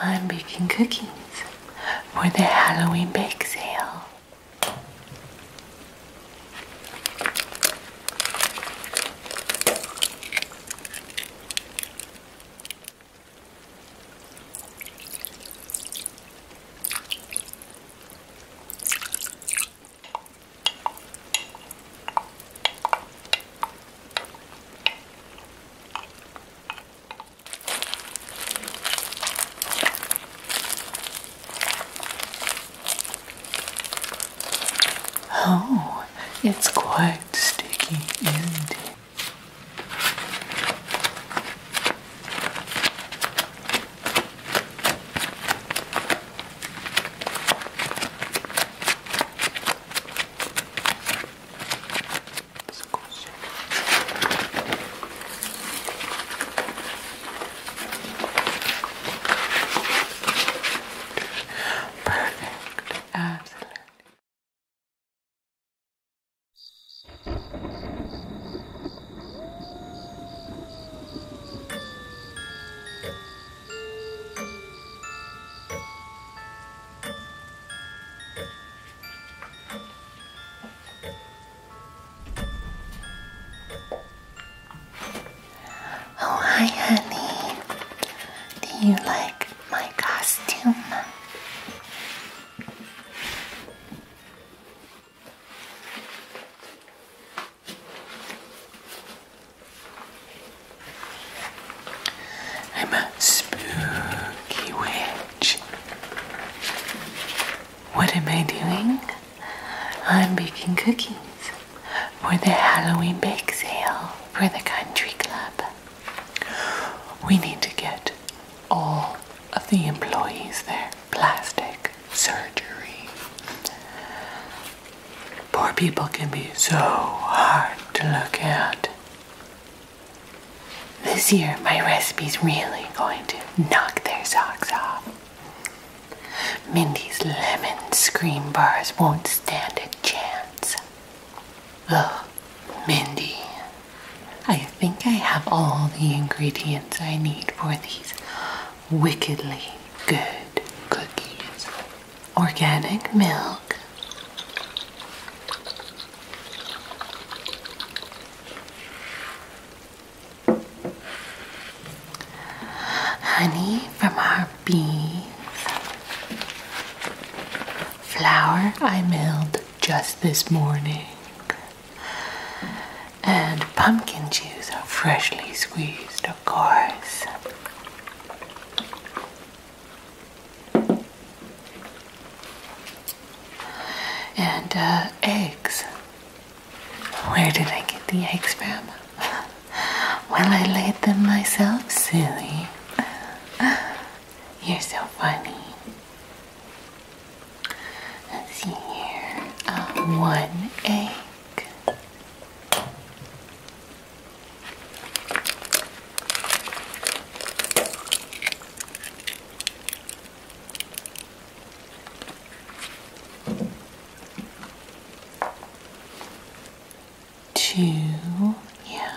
I'm baking cookies for the Halloween bake sale. Oh, it's quite sticky, isn't it? It's a cool Perfect. Absolutely. Oh, hi, honey. Do you like my costume? I'm a spooky witch. What am I doing? I'm baking cookies for the Halloween bake sale for the country club. We need to get all of the employees their plastic surgery. Poor people can be so hard to look at. This year, my recipe's really going to knock their socks off. Mindy's lemon scream bars won't stand a chance. Ugh, Mindy. I think I have all the ingredients I need for these wickedly good cookies organic milk. Honey from our bees. Flour I milled just this morning. And pumpkin juice, freshly squeezed, of course. And uh, eggs. Where did I get the eggs from? well, I laid them myself, silly. You're so funny. Let's see here. Uh, one egg. Two, yeah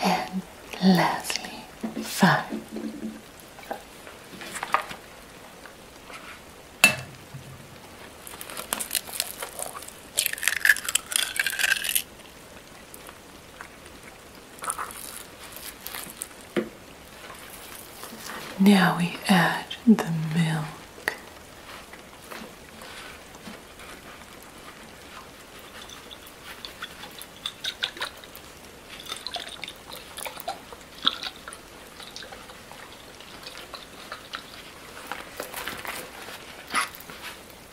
and lastly, five. Now we add the milk.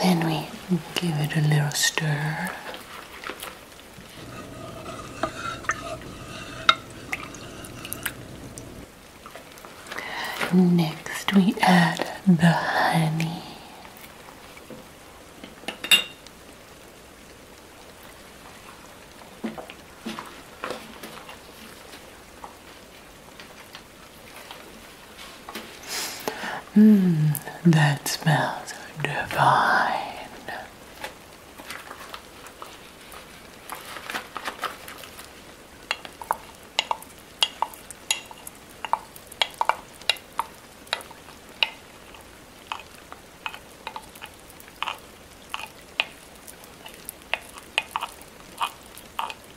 Then we give it a little stir. Next, we add the honey. Mmm, that smells divine.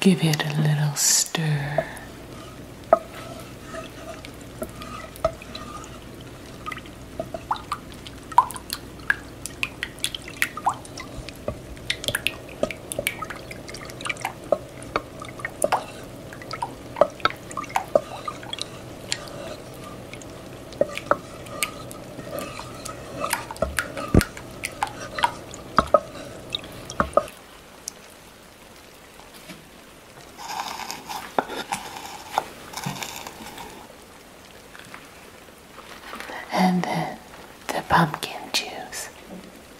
Give it a little stir. And then the pumpkin juice.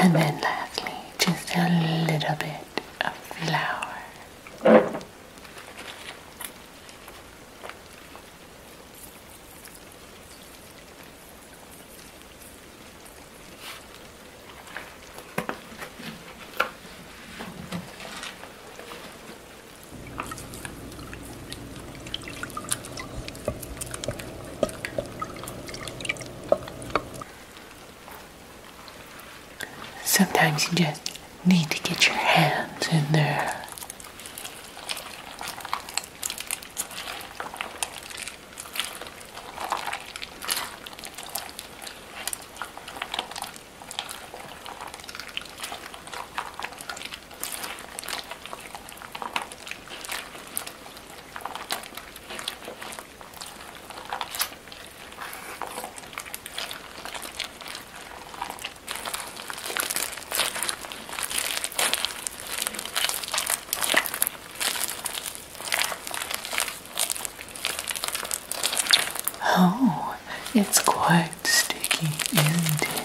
And then lastly, just a little bit of flour. Sometimes you just need to get your hands in there. Oh, it's quite sticky, isn't it?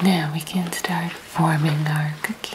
Now we can start forming our cookies.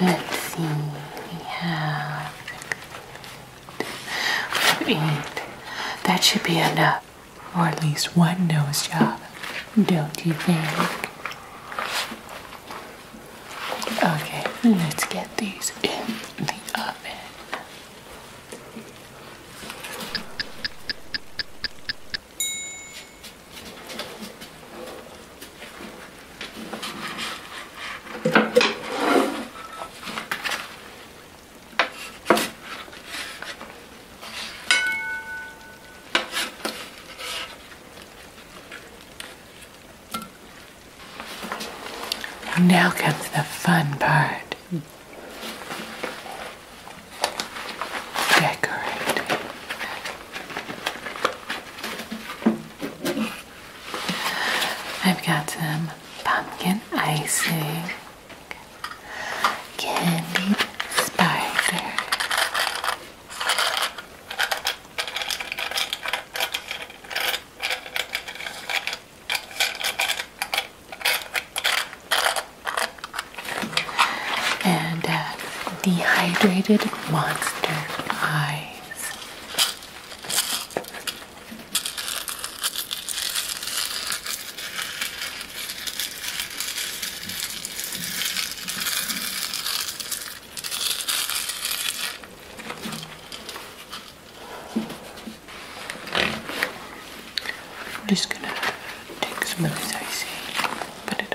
Let's see, we have eight. That should be enough or at least one nose job, don't you think? Okay, let's get these in the oven. Now comes the fun part. Decorating. I've got some pumpkin icing, candied spider, and uh, dehydrated monster eyes. I'm just gonna take some of this icy, put it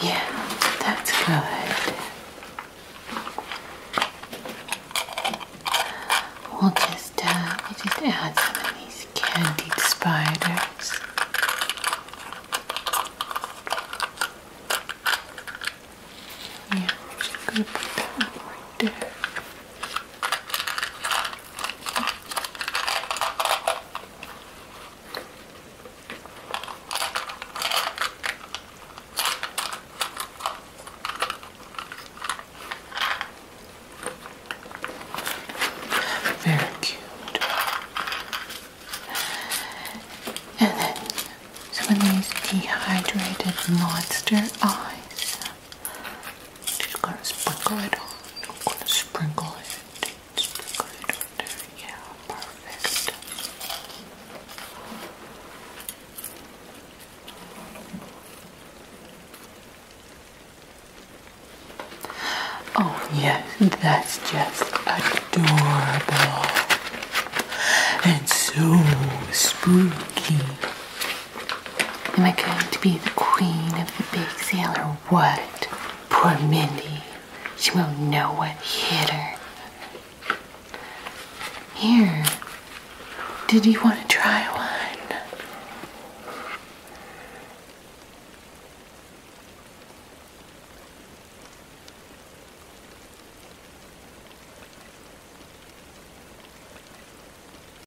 Yeah, that's good. We'll just uh, we just add some of these candied spiders. Yeah, I'm just going put that right there. Very cute. And then some of these dehydrated monster eyes. Just gonna sprinkle it on. gonna sprinkle it. Yeah, perfect. Oh yes, that's just adorable and so spooky. Am I going to be the queen of the big sale or what? Poor Mindy. She won't know what hit her. Here. Did you want to try one?